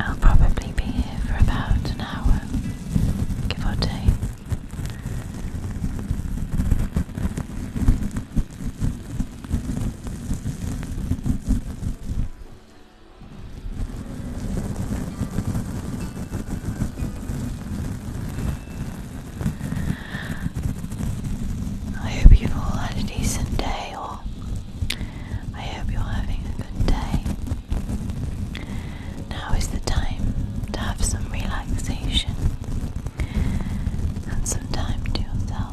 I'll probably be here for about an hour, give or take. I hope you've all had a decent day, or I hope you're having a good day. Now is the time to have some relaxation and some time to yourself.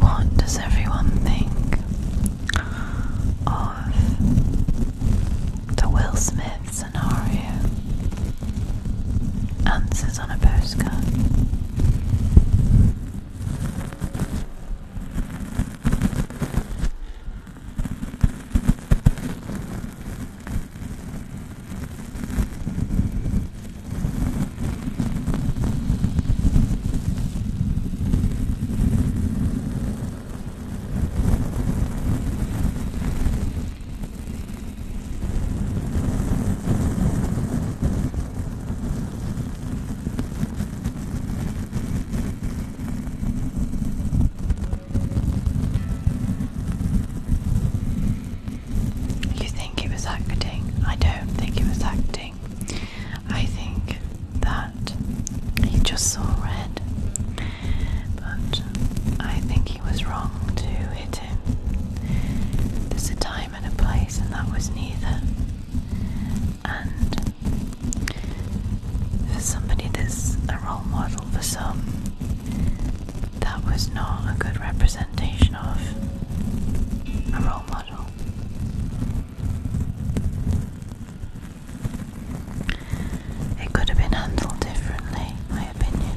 What does everyone think of the Will Smith scenario and on a postcard. You think he was acting? I don't think he was acting. I think that he just saw red, but I think he was wrong to hit him. There's a time time and a place, and that was neither. And for somebody that's a role model for some, that was not a good representation of a role model. It could have been handled differently, my opinion.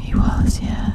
He was, yeah.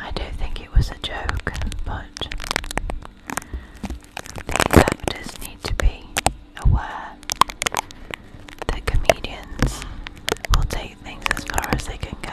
I don't think it was a joke, but actors need to be aware that comedians will take things as far as they can go.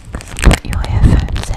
put your headphones in.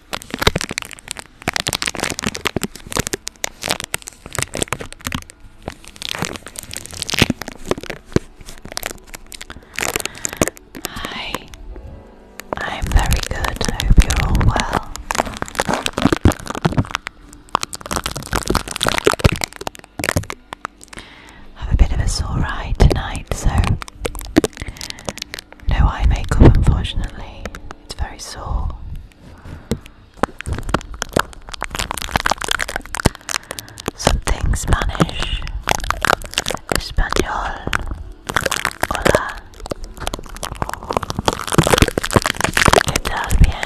Hi, I'm very good. I hope you're all well. I have a bit of a sore eye tonight, so no eye makeup, unfortunately. It's very sore. Something Spanish, Espanol, Hola, ¿Qué Bien.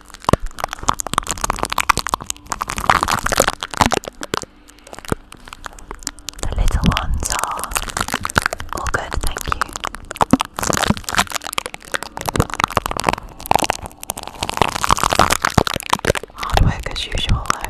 The little ones are all good, thank you. Hard work as usual, though.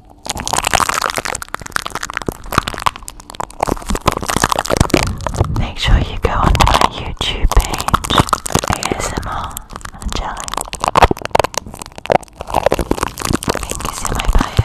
Make sure you go onto my YouTube page, ASMR Angelic. Link is in my bio.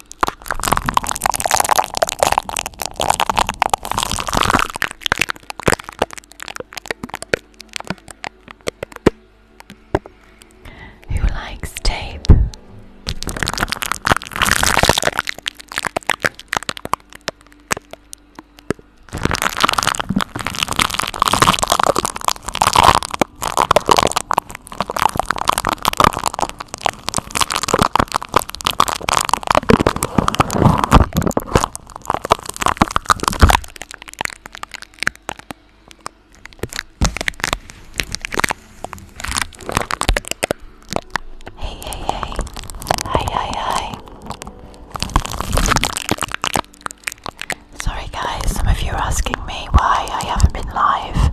Who likes tape? Hey, hey, hey. Hi, hi, hi. Sorry, guys, some of you are asking me why I haven't been live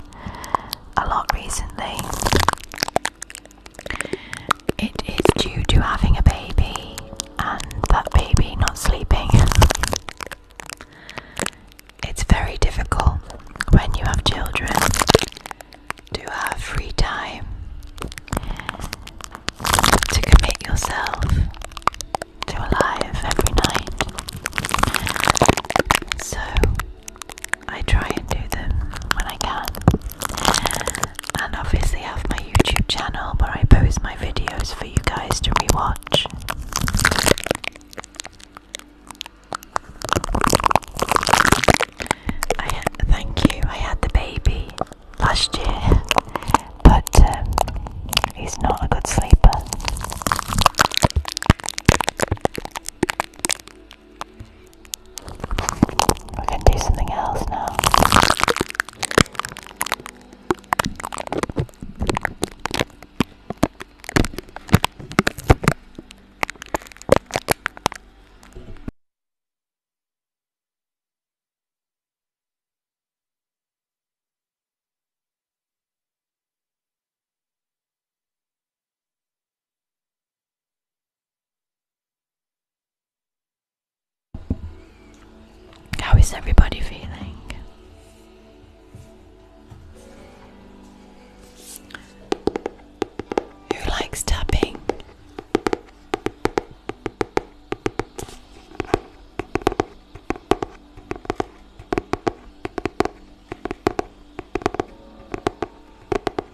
a lot recently. It is due to having a baby and that baby not sleeping. It's very difficult when you have children to have free time to commit yourself to a life every night. So I try and do them when I can. And obviously, have my YouTube channel where I post my videos for you guys to rewatch. I thank you. I had the baby last year, but um, he's not a good sleeper. I can do something else now. How is everybody feeling? Who likes tapping?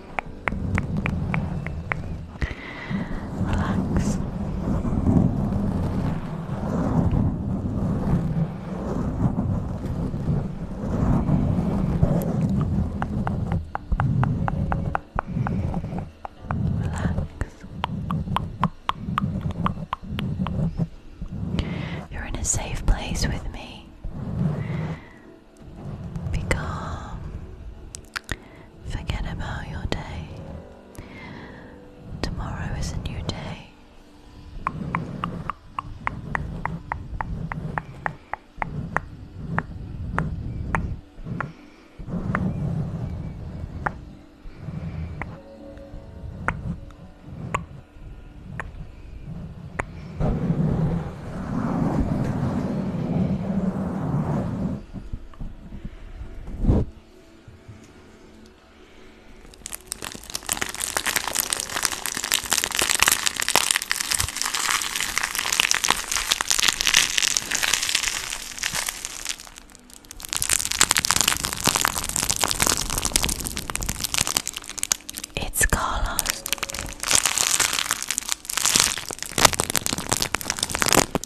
Relax. Relax. You're in a safe place with me. Be Forget about your day. Tomorrow is a new day. It's Carlos.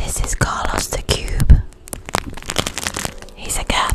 This is Carlos the Cube. He's a cat.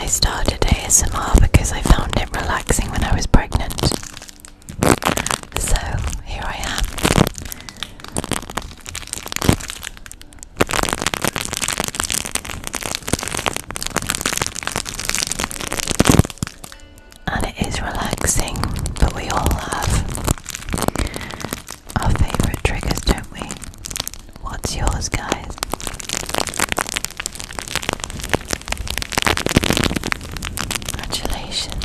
I started ASMR because I found it relaxing when I was pregnant. So here I am. And it is relaxing, but we all have our favourite triggers, don't we? What's yours, guys? Congratulations.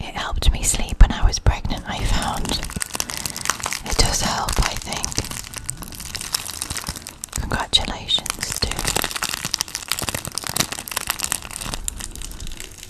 It helped me sleep when I was pregnant, I found. It does help, I think. Congratulations, too.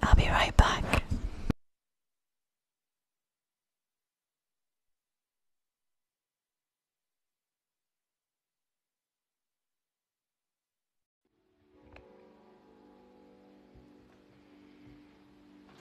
I'll be right back.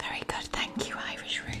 Very good, thank you, Irish Ruth.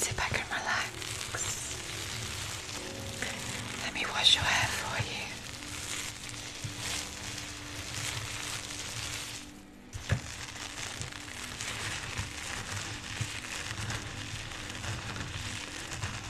See if I can relax. Let me wash your hair for you.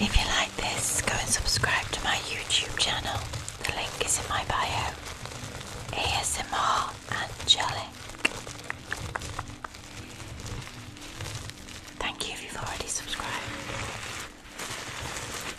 If you like this, go and subscribe to my YouTube channel. The link is in my bio. ASMR Angelic. Thank you if you've already subscribed.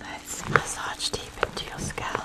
Let's massage deep into your scalp.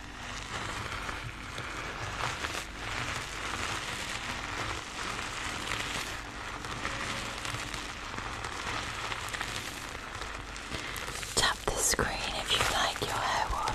Tap the screen if you like your hair washed.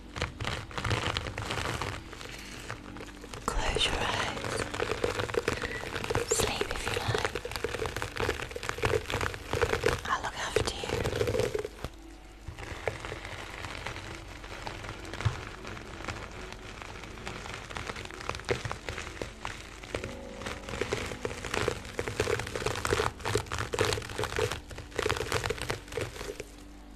Close your eyes. Sleep if you like. I'll look after you.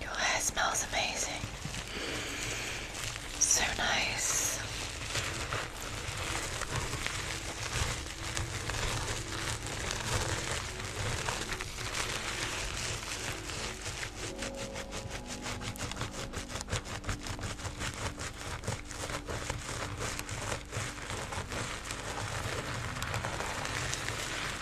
Your hair smells amazing. So nice.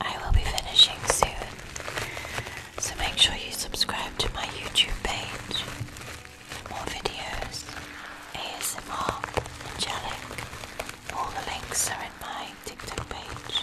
I will be finishing soon, so make sure you subscribe to my YouTube page more videos, ASMR, and All the links are in my TikTok page.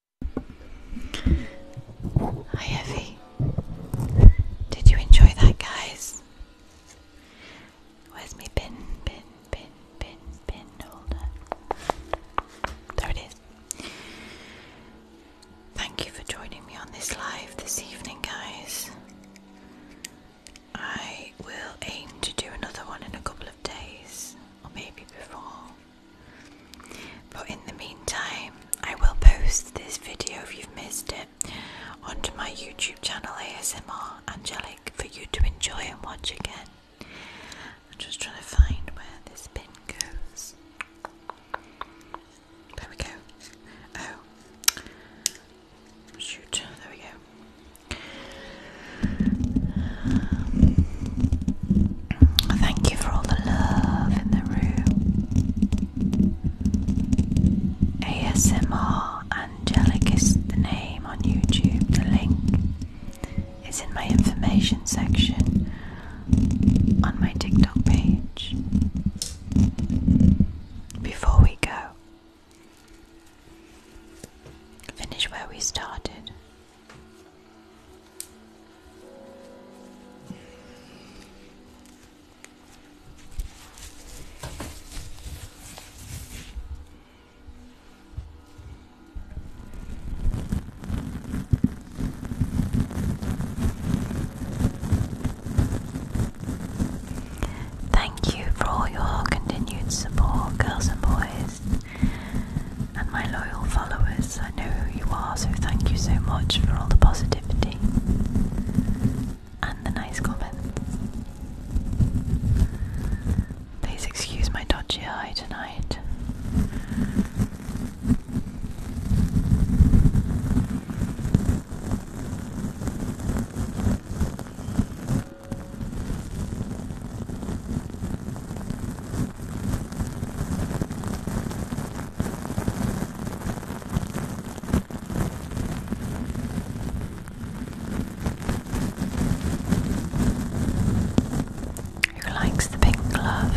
Hi, Evie. Did you enjoy that, guys? Where's my pin? Pin, pin, pin, pin holder. There it is. Thank you for joining me on this live this evening, guys. I will aim to do another one in a couple of days, or maybe before. But in the meantime, I will post this video if you've missed it onto my YouTube channel ASMR Angelic for you to enjoy and watch again. I'm just trying to find where this pin goes. There we go. Oh. Shoot. There we go. Thank you for all the love in the room. ASMR Angelic is the name on YouTube. The link is in my information section on my TikTok page. Before we go, finish where we started. Thank you for all your continued support, girls and boys, and my loyal followers yes, I know who you are, so thank you so much for all the positivity and the nice comment. Please excuse my dodgy eye tonight. Who likes the pink glove?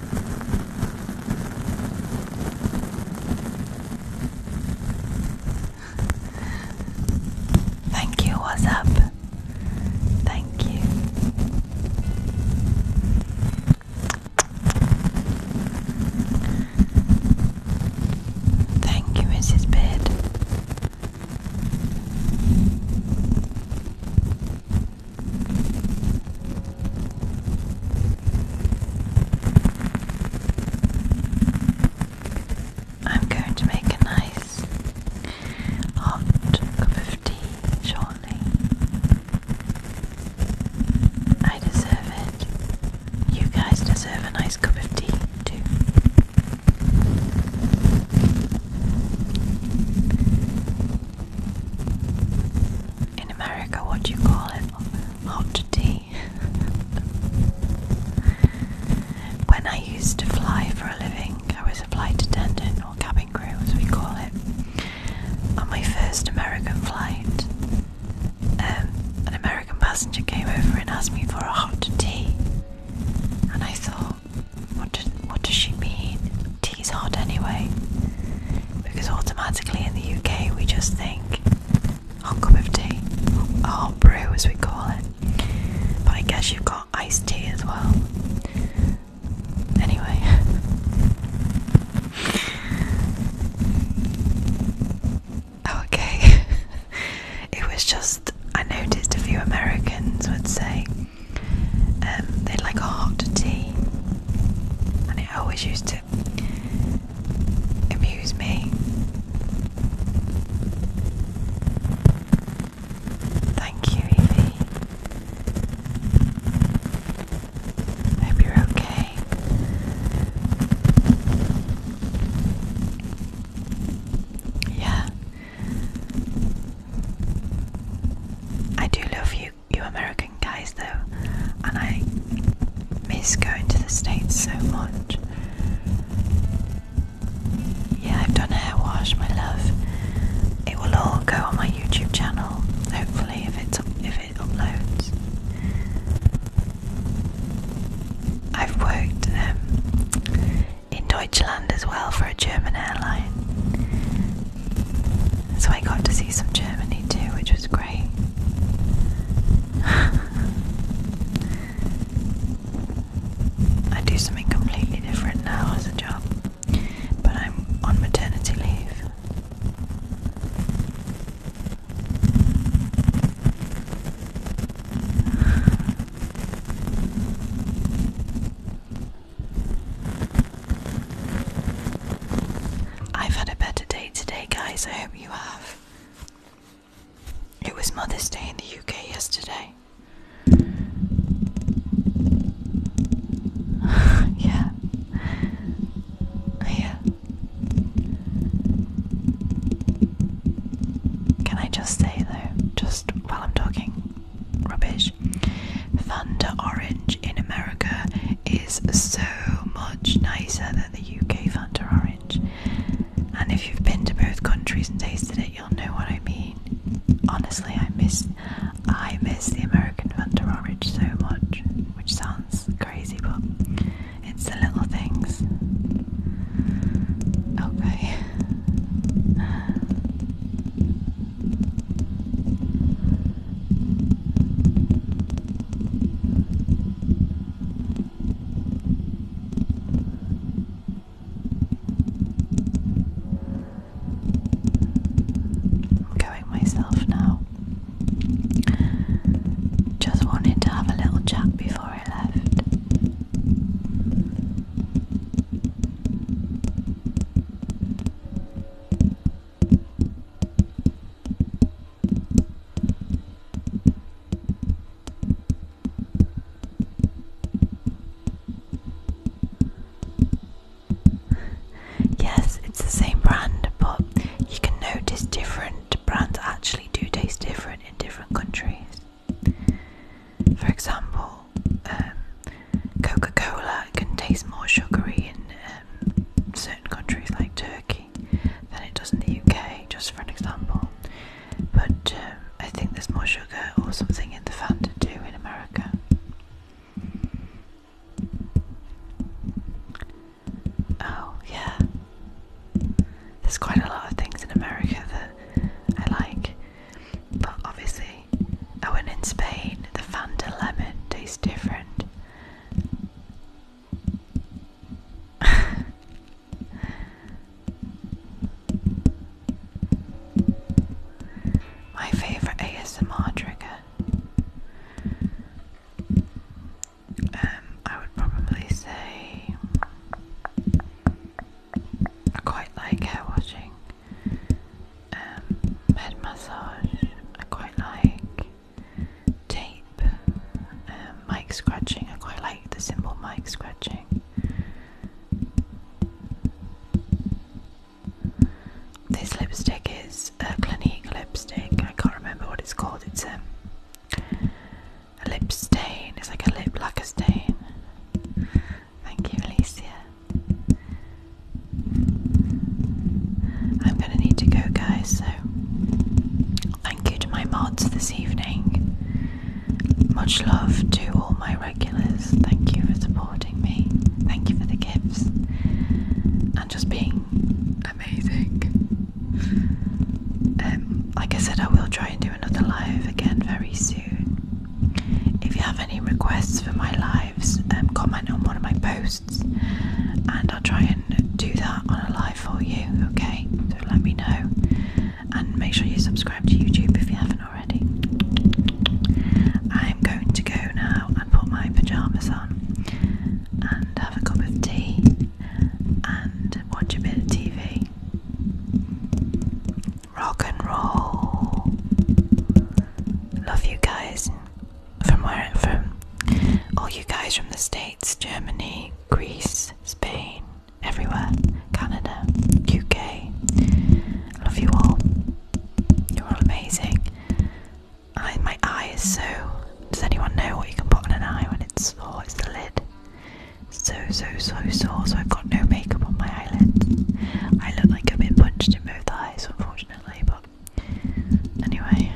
Thank you, what's up? Thank you. Thank you, Mrs. Beard. I'm going to make a nice hot cup of tea shortly. I deserve it. You guys deserve a nice cup of tea too in America, what do you call it? Hot tea. when I used to fly for a living, I was a flight attendant or cabin crew as we call it. On my first American flight, um, an American passenger came over and asked me for a hot tea, and I thought, what, what does she mean? Tea's hot anyway because automatically in the UK we just think hot cup of tea, a hot brew as we call it. But I guess you've got iced tea as well. Anyway, okay. it was just I noticed a few Americans would say um, they'd like a hot tea, and it always used to amuse me. Thank you, Evie. Hope you're okay. Yeah. I do love you you American guys though, and I miss going to the States so much. Yeah, I've done hair wash, my love. It will all go on my YouTube channel, hopefully, if it's if it uploads. I've worked um, in Deutschland as well for a German airline, so I got to see some Germany too, which was I do something completely different now as a job, but I'm on maternity leave. I've had a better day today, guys. I hope you have. It was Mother's Day in the UK yesterday. yeah. Oh, yeah. Can I just say though, just while I'm talking, rubbish, Thunder Orange in America is so much nicer than the UK Fanta Orange. And if you've been to both countries and tasted it, you'll know what I mean. Honestly, I miss I miss the American Fanta Orange so much, which sounds crazy, but it's the little things. Okay. I'm going myself now. Just wanted to have a little chat before I left. yes, it's the same brand, but you can notice different brands actually do taste different in different countries. For example, um, Coca Cola can taste more sugary in um, certain countries like Turkey than it does in the UK, just for an example. But um, I think there's more sugar or something in the Fanta too in America. Oh, yeah. There's quite a lot of things in America that I like, but obviously, oh, and in Spain, the Fanta lemon tastes different. My favorite ASMR trigger. Um, I would probably say I quite like hair washing, um, head massage. I quite like tape, um, mic scratching. I quite like the simple mic scratching. This lipstick is a Clinique lipstick. I can't remember what it's called. It's um, a lip stain. It's like a lip lacquer stain. Thank you, Alicia. I'm gonna need to go, guys. So thank you to my mods this evening. Much love to all my regulars. Thank you for supporting me. Thank you for the gifts and just being amazing. Um, like I said, I will try and do another live again very soon. If you have any requests for my lives, um, comment on one of my posts and I'll try and do that on a live for you, okay? So let me know, and make sure you subscribe to YouTube if you haven't already. I'm going to go now and put my pyjamas on, and have a cup of tea, and watch a bit of TV. Rock and roll. Love you guys from where from all you guys from the States, Germany, Greece, Spain, everywhere, Canada, UK. I love you all. You're all amazing. I, my eye is so. Does anyone know what you can put on an eye when it's sore? It's the lid. So, so, so sore, so I've got no makeup on my eyelids. I look like I've been punched in both eyes, unfortunately, but anyway.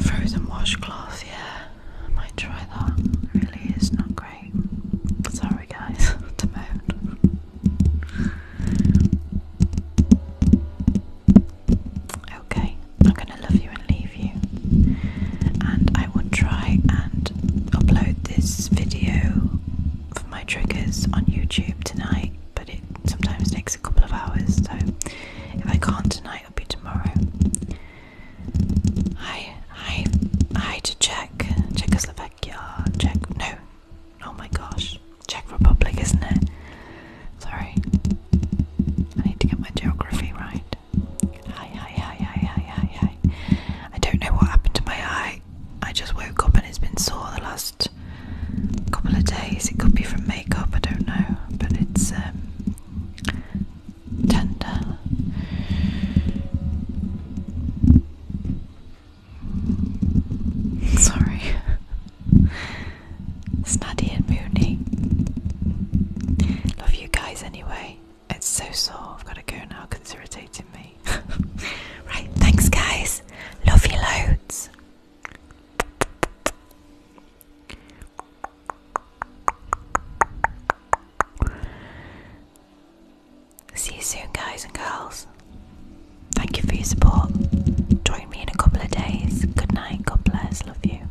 Frozen washcloth, yeah, I might try that. really is not great. Sorry, guys, Okay, I'm gonna love you and leave you. I will try and upload this video for my triggers on YouTube tonight, but it sometimes takes a couple of hours, so if I can't tonight, it'll be tomorrow. Hi, hi, hi to Czech, Czechoslovakia, Czech, no, oh my gosh, Czech Republic, isn't it? Sorry, I need to get my geography right. Hi, hi, hi, hi, hi, hi, hi. I don't know what happened to my eye. I just woke up and it's been sore the last couple of days. It could be from makeup, I don't know, but it's um, tender. Sorry, Snaddy and Moony. Love you guys anyway. It's so sore. I've got to go now it's irritating me. right, thanks, guys. Love you loads. See you soon, guys and girls. Thank you for your support. Join me in a couple of days. Good night. God bless. Love you.